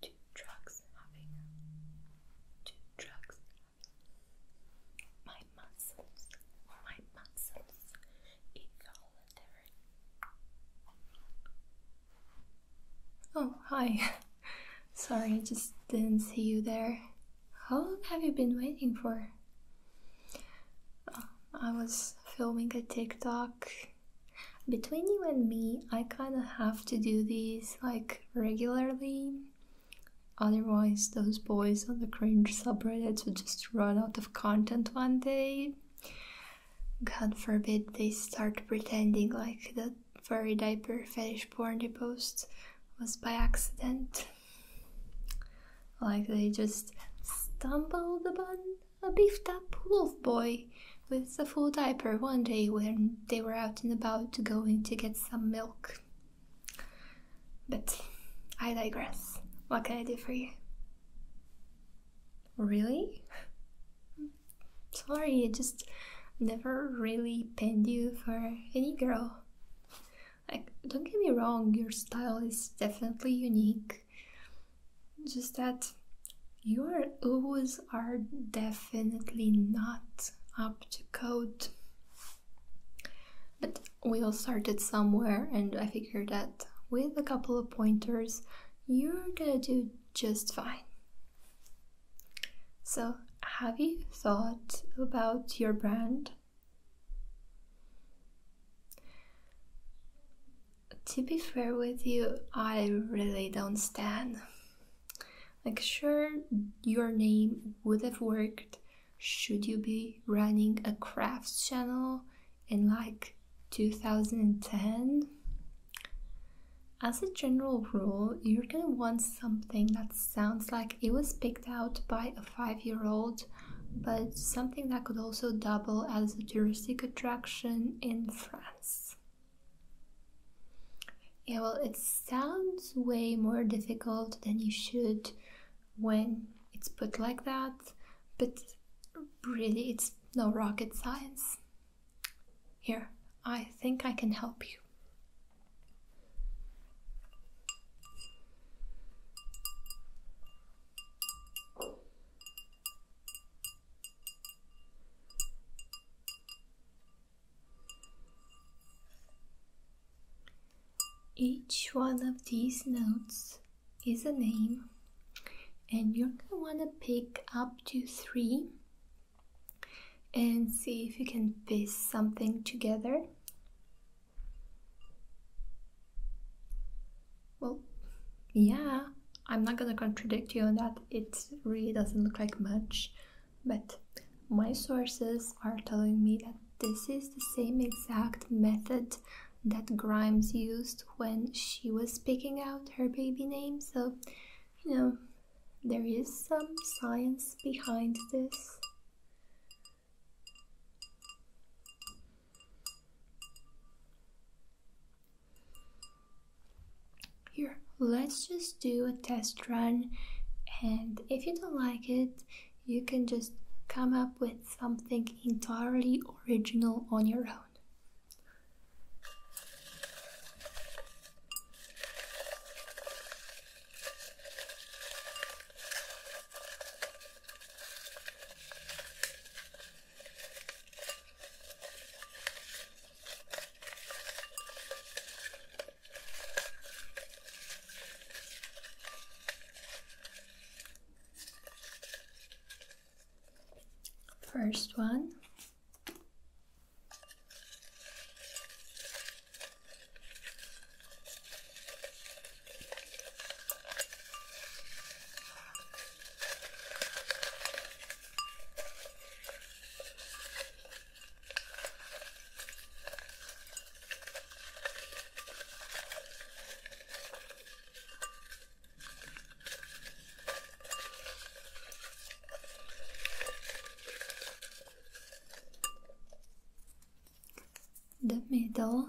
Two drugs Oh hi sorry I just didn't see you there. How long have you been waiting for? Oh, I was filming a TikTok between you and me, I kind of have to do these like regularly. Otherwise, those boys on the cringe subreddit would just run out of content one day. God forbid they start pretending like that furry diaper fetish porn they post was by accident. Like they just stumbled upon a beefed up wolf boy with a full diaper one day when they were out and about going to get some milk. But I digress. What can I do for you? Really? Sorry, I just never really penned you for any girl. Like, don't get me wrong, your style is definitely unique just that your oohs are definitely not up to code. But we all started somewhere, and I figure that with a couple of pointers, you're gonna do just fine. So, have you thought about your brand? to be fair with you, I really don't stand. Like, sure, your name would have worked should you be running a crafts channel in like 2010. As a general rule, you're gonna want something that sounds like it was picked out by a five year old, but something that could also double as a touristic attraction in France. Yeah, well, it sounds way more difficult than you should when it's put like that, but really, it's no rocket science. Here, I think I can help you. Each one of these notes is a name, and you're gonna wanna pick up to three and see if you can piece something together. Well, yeah, I'm not gonna contradict you on that. It really doesn't look like much, but my sources are telling me that this is the same exact method that Grimes used when she was picking out her baby name. So, you know, there is some science behind this. Here, let's just do a test run, and if you don't like it, you can just come up with something entirely original on your own. First one the middle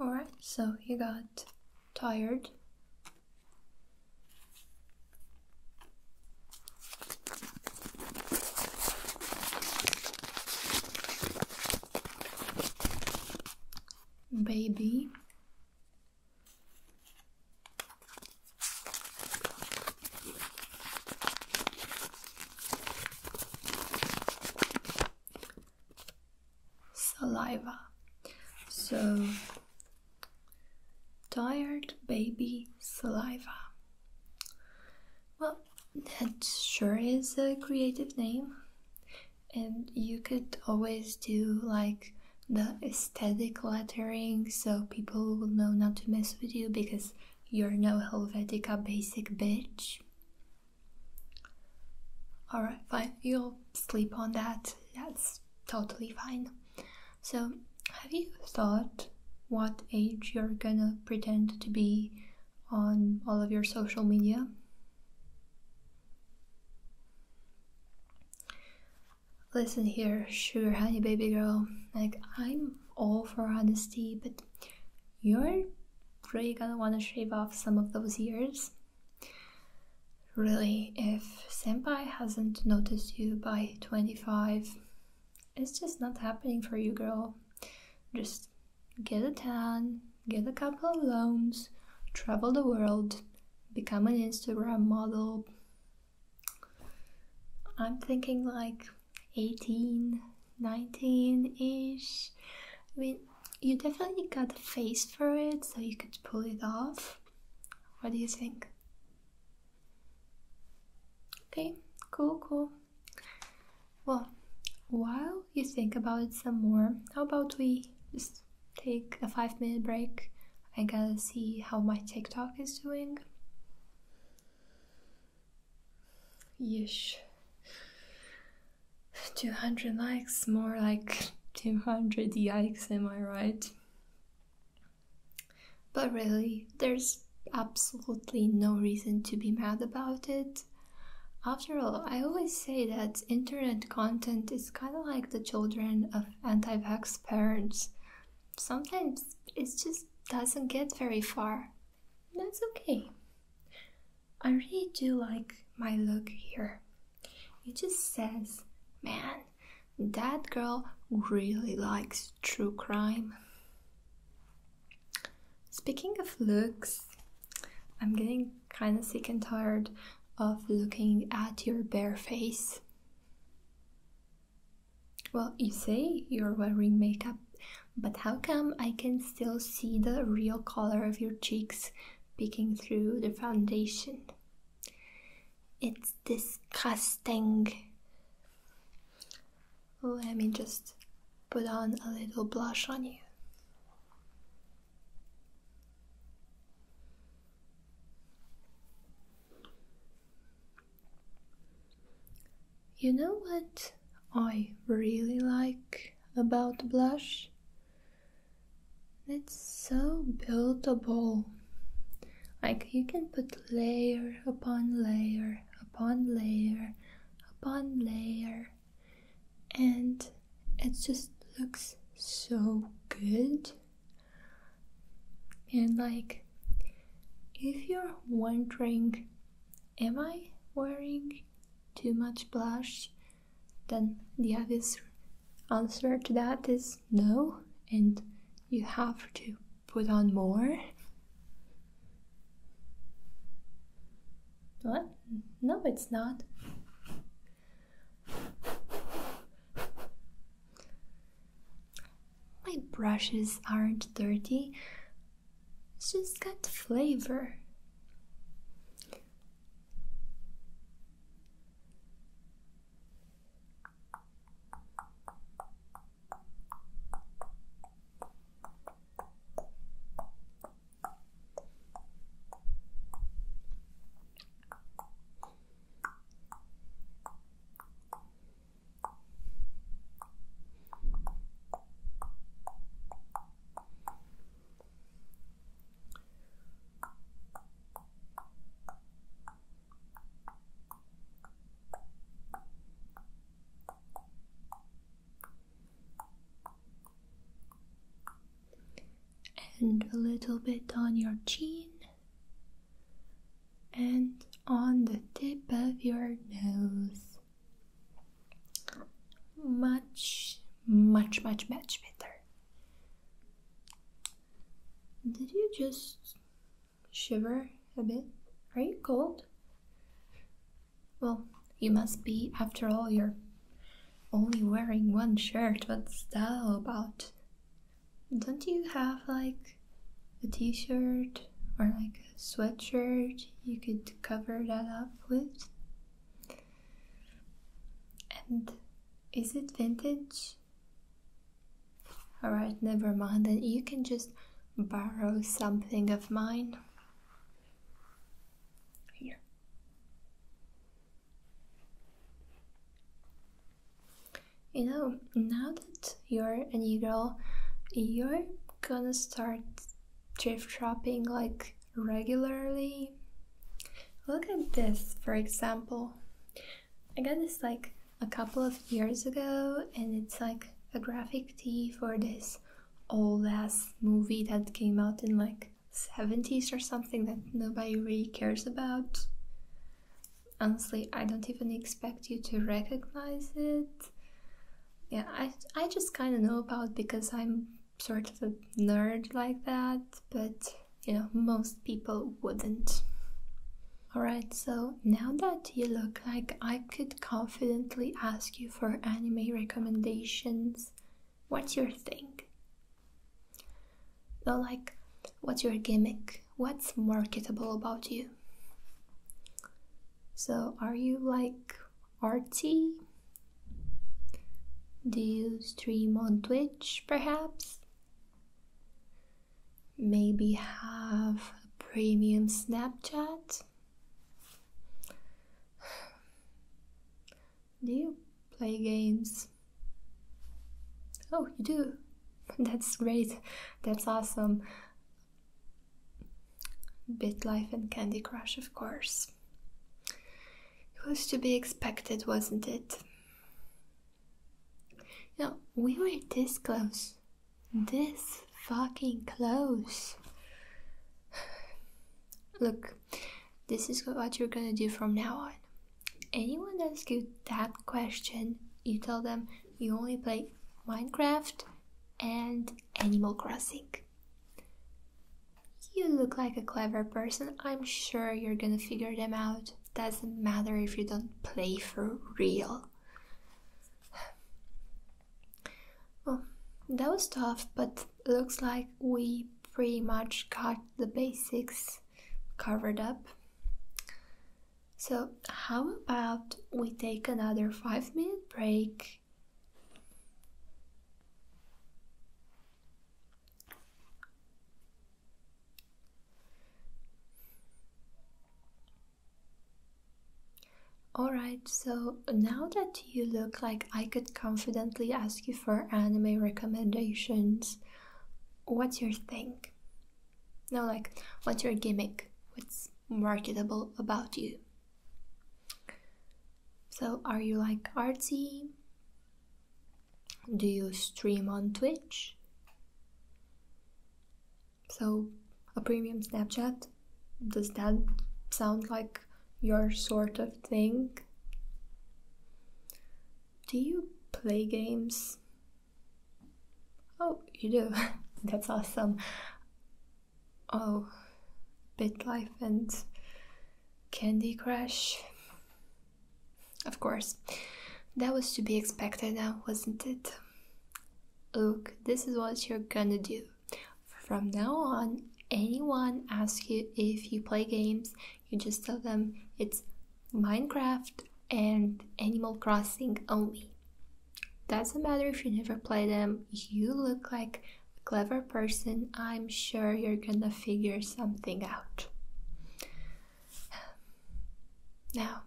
All right, so you got tired. Baby. Saliva. So, tired baby saliva. Well, that sure is a creative name, and you could always do like the aesthetic lettering so people will know not to mess with you because you're no Helvetica basic bitch. Alright, fine. You'll sleep on that. That's totally fine. So, have you thought what age you're gonna pretend to be on all of your social media? Listen here, sugar honey baby girl. Like, I'm all for honesty, but you're really gonna want to shave off some of those years. Really, if Senpai hasn't noticed you by 25, it's just not happening for you, girl. Just get a tan, get a couple of loans, travel the world, become an Instagram model, I'm thinking like 18, 19 ish. I mean, you definitely got the face for it, so you could pull it off. What do you think? Okay, cool, cool. Well, while you think about it some more, how about we just take a five minute break? I gotta see how my TikTok is doing. Yesh, 200 likes, more like 200 yikes, am I right? But really, there's absolutely no reason to be mad about it. After all, I always say that internet content is kind of like the children of anti vax parents sometimes it just doesn't get very far. That's okay. I really do like my look here. It just says, man, that girl really likes true crime. Speaking of looks, I'm getting kind of sick and tired of looking at your bare face. Well, you say you're wearing makeup, but how come I can still see the real color of your cheeks peeking through the foundation? It's disgusting. Let me just put on a little blush on you. You know what I really like about blush? It's so buildable. Like you can put layer upon layer upon layer upon layer, and it just looks so good. And like, if you're wondering, am I wearing too much blush? Then the obvious answer to that is no, and you have to put on more. What? No, it's not. My brushes aren't dirty, it's just got flavor and a little bit on your chin and on the tip of your nose. Much, much, much, much better. Did you just shiver a bit? Are you cold? Well, you must be, after all, you're only wearing one shirt. What's that about? Don't you have like a t shirt or like a sweatshirt you could cover that up with? And is it vintage? Alright, never mind, then you can just borrow something of mine. Here. You know, now that you're an e-girl, you're gonna start thrift shopping like regularly. Look at this, for example. I got this like a couple of years ago, and it's like a graphic tee for this old ass movie that came out in like 70s or something that nobody really cares about honestly i don't even expect you to recognize it yeah i, I just kind of know about because i'm sort of a nerd like that but you know most people wouldn't Alright, so now that you look like I could confidently ask you for anime recommendations, what's your thing? So, like, what's your gimmick? What's marketable about you? So, are you like artsy? Do you stream on Twitch perhaps? Maybe have a premium Snapchat? Do you play games? Oh, you do? That's great. That's awesome. Bit life and Candy Crush, of course. It was to be expected, wasn't it? You we were this close. This fucking close. Look, this is what you're gonna do from now on anyone asks you that question, you tell them you only play Minecraft and Animal Crossing. You look like a clever person, I'm sure you're gonna figure them out. Doesn't matter if you don't play for real. Well, that was tough, but looks like we pretty much got the basics covered up. So, how about we take another five minute break? Alright, so now that you look like I could confidently ask you for anime recommendations, what's your thing? No, like, what's your gimmick? What's marketable about you? So, are you like artsy? Do you stream on Twitch? So, a premium Snapchat? Does that sound like your sort of thing? Do you play games? Oh, you do. That's awesome. Oh, Bit Life and Candy Crush. Of course. That was to be expected wasn't it? Look, this is what you're gonna do. From now on, anyone asks you if you play games, you just tell them it's Minecraft and Animal Crossing only. Doesn't matter if you never play them, you look like a clever person. I'm sure you're gonna figure something out. Now,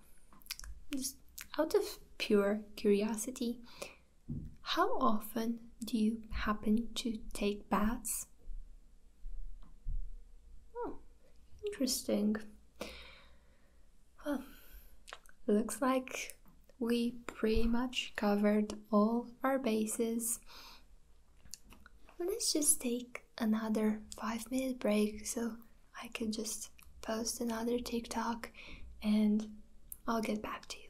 just out of pure curiosity, how often do you happen to take baths? Oh, interesting. Well, looks like we pretty much covered all our bases. Let's just take another five minute break so I can just post another TikTok and I'll get back to you.